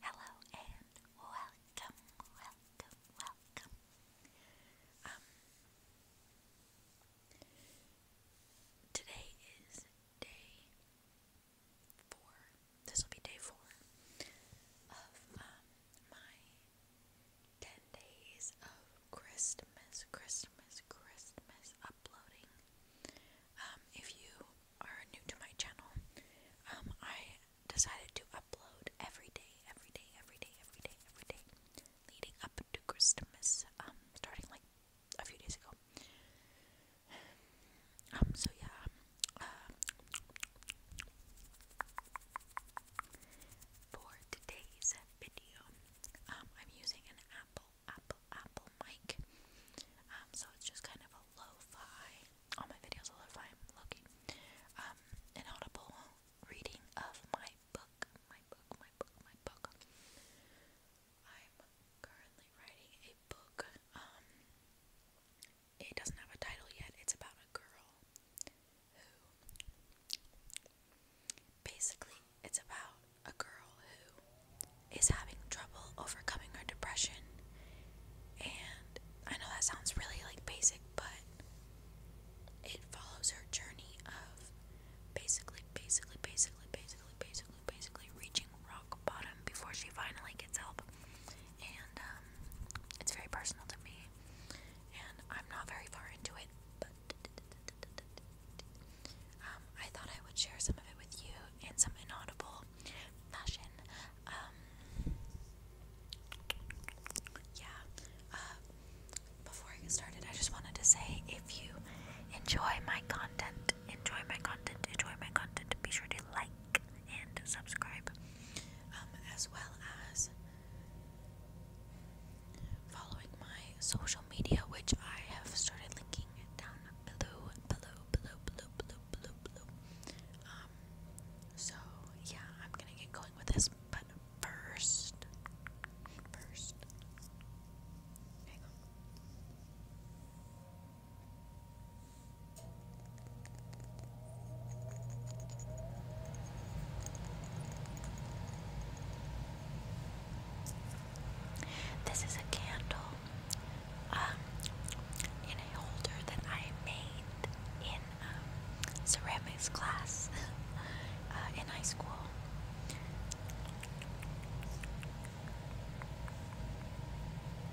Hello and welcome, welcome, welcome. Um, today is day four. This will be day four of um, my 10 days of Christmas, Christmas, Christmas uploading. Um, if you are new to my channel, um, I decided to upload every day, every day, every day, every day, every day, leading up to Christmas, um, starting like a few days ago. Um, so yeah, uh, for today's video, um, I'm using an Apple, Apple, Apple mic. Um, so it's just kind of a lo All my videos are lo looking. Um, an audible reading of my book, my book, my book, my book. I'm currently writing a book. Um, it doesn't have a title yet. It's about a girl who. Basically, it's about a girl who is having trouble overcoming her depression. And I know that sounds really like basic, but it follows her journey of basically, basically, basically, basically, basically, basically reaching rock bottom before she finally gets help and um, it's very personal to me, and I'm not very far into it, but um, I thought I would share some of it with you in some inaudible fashion. Um, yeah. Uh, before I get started, I just wanted to say if you enjoy my content, enjoy my content, enjoy my content, be sure to like and subscribe, um, as well as following my social media, which I have started linking down below, below, below, below, below, below, below. Um, so yeah, I'm gonna get going with this, but first, first, hang on. This is a candle um, in a holder that I made in um, ceramics class uh, in high school.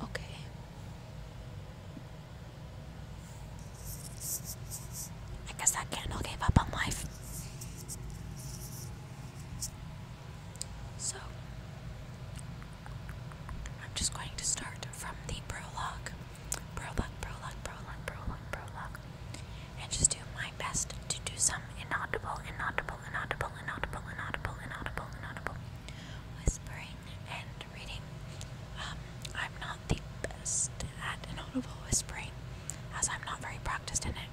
Okay. I guess that candle gave up on life. So, I'm just going to start from the prologue. Prologue, prologue, prologue, prologue, prologue. And just do my best to do some inaudible, inaudible, inaudible, inaudible, inaudible, inaudible, inaudible whispering and reading. Um, I'm not the best at inaudible whispering, as I'm not very practiced in it.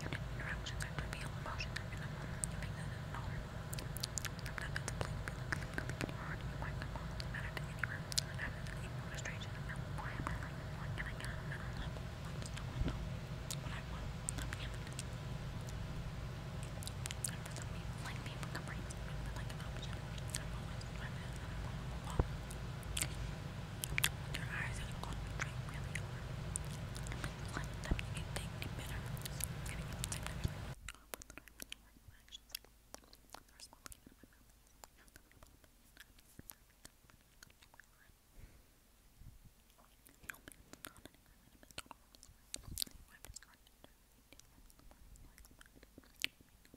Your interactions act reveal emotions that you're not you make that at all. Sometimes it's bleak, feeling in your heart, you might not want to matter to anyone. And after the deep frustration of now, why am I like, what can I get? I don't know. I don't know what I want. I'm human. And for some people, like people, comforting is like an option. I'm always my man, and I'm always a lot. Your eyes are going to drink really hard. Let them get taken better. Getting a little bit better. Thank you.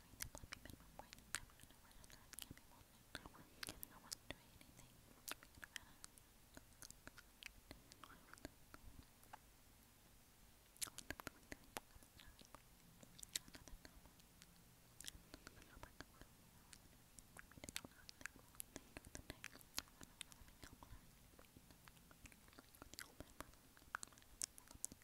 doing the bloody minimum wage. I'm gonna run on that. Give me one minute. I wasn't kidding. I wasn't doing anything. I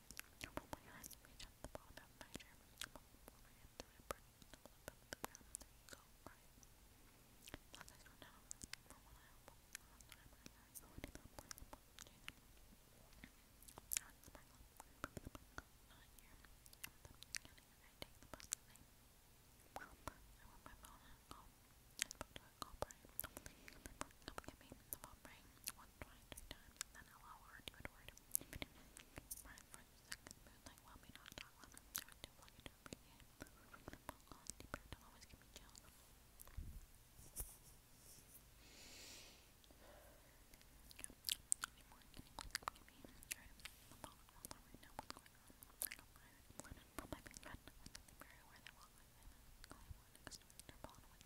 Roll my eyes, reach up the bottom, measure, roll them over into it, burn it all up the ground. There you go, right? Plus, I don't know from what I hope. I my eyes, so I didn't want to do that. I was sparkling, not here. And then I take the bus and I, well, I want my phone and call. I spoke to a call, right? They come get me in the phone, right? Once, twice, three times, and then allow her to word. Brian for the second mood, like, well, may not talk on them. There was too long to appreciate. From the book on, the bird don't always give me chills. Any more? Can you please give me? Alright, I'm all right now. What's going on? I don't mind. Well, my best friend was very aware that while I was in, I wanted to explore their bond with.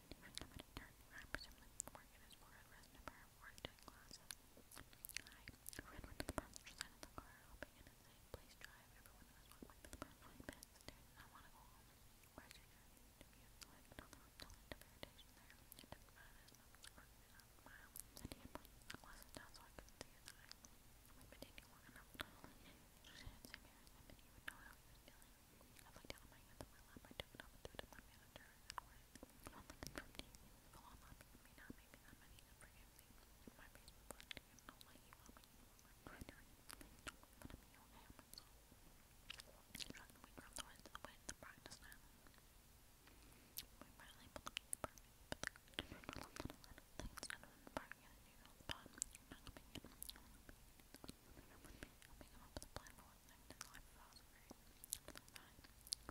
Even I went to the passenger side of the car, hoping in a safe place drive. Everyone was walking to the burn I want to go home. Where should you interview? Like, no, there was no end of irritation there. It didn't matter, as much as working out a mile. And he had pushed the glasses down so I couldn't see his eye. We'd been dating long enough, not only did she see me, I mean, he would know how he was feeling. I laid down my hands on my lap, I took it off and threw it at my manager, and went, Don't let them from you. Go on, love me now, maybe that many can forgive me. And my face reflected, and don't let you love me, you love my traitor. Please don't make fun of me, okay, I'm myself. Shrugged away from the words of the way to the practice island. We finally pulled up to the apartment, but the children were left on a lot of things out of the park at a usual spot. In my opinion, I was being in the middle of the room with me, helping him up with a plan for lived his life without very another time.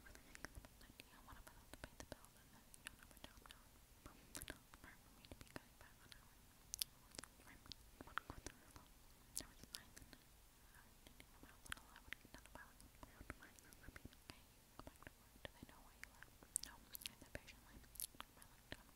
Really think about that idea, what if I don't pay the bills and then you don't have a job now? But it's not smart for me to be going back on our right one quarter alone. There was a sign that I didn't even how little I would get done about it. I would mind them for being okay. Go back to work. Do they know why you left? No, I said patiently. I looked at him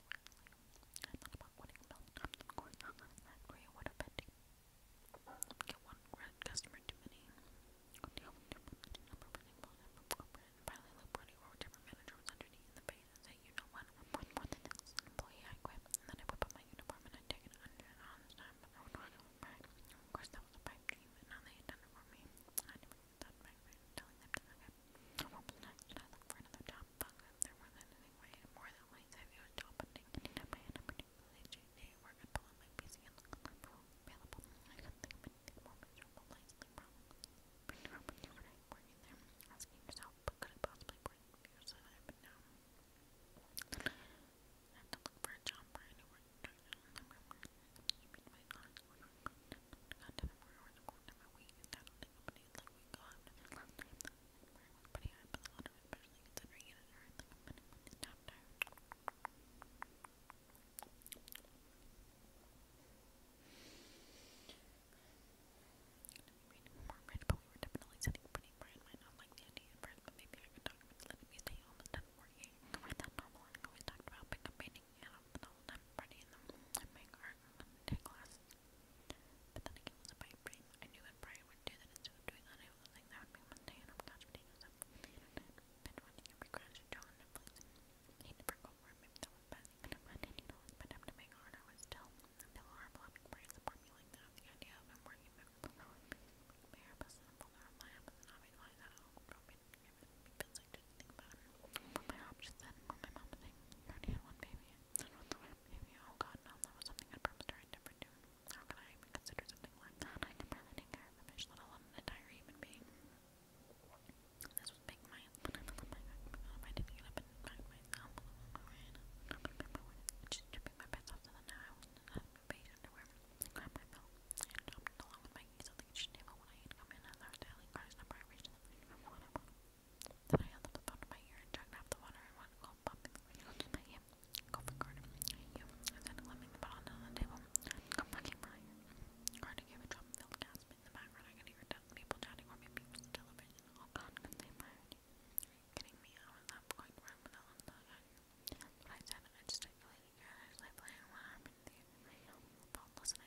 I'm not about wanting milk. I'm not going What a pity. Get one red customer too many. Go down with different number running ball number corporate. And finally, look pretty or whatever manager was underneath in the face and say, you know what, I'm worth more than this employee. I quit. And then I whip up my uniform and I take it under and on the time. I would run over mine. Of course, that was a pipe dream, and now they had done it for me. And I never even thought about it, telling them that I got. I won't be nice, and I look for another job top button. They're more than anyway, more than my side view top button. Anytime I end up in a where I pull up my PC and look at available. I couldn't think of anything more miserable, like sleep problems. Been around with overnight there, asking yourself, what could it possibly bring for yourself? But now, I have to for a job where I know where You pretty high, More bread, but we were definitely sitting pretty bright. not like the idea at first, but maybe I letting me stay home instead of working. Cover that normal I always talked about, pick up painting, and I'm um, the whole time party in the morning, make art, and take but then again, with the pipe I knew when Brian would do that instead of doing that, I was like, that would be one day, and I'm couch potatoes up on the internet, binge watching every crash show on Netflix. He never go for it, maybe that was bad, he could have had any knowledge, but after being hard, I was still, still horrible having Brian support me like that. The idea of him working with me, my hair busted and pulled out of my app, and I mean, why that all broke me, it feels like just think about it. But my options then, my mom was like, you already had one baby, that was maybe oh god no, that was something I'd promised her do. How can I even consider something like that? I can barely take a fish, let alone an entire human being. This was big my but I felt my if I didn't get up and find myself along my way and I'm gonna be my way. Just stripping my pants off to the now I was in beige underwear. I grabbed um, my belt and jumped along with my keys uh, on the kitchen table when I had come in as I was dialing Carter's number I reached the phone from what I wanted. Then I held up the phone to my ear and chugged off the water and went cold pumping the radio into Go for Gordon. Hey, you. I said, limping the bottle down on the table. Come fucking by here. Gordon gave a drum-filled gasp in the background. I could hear people chatting or maybe it the television. Oh god, can they fire you? Are me? I of that. But I said, I just stipulated here. I was like, playing what happened to you. I do listen,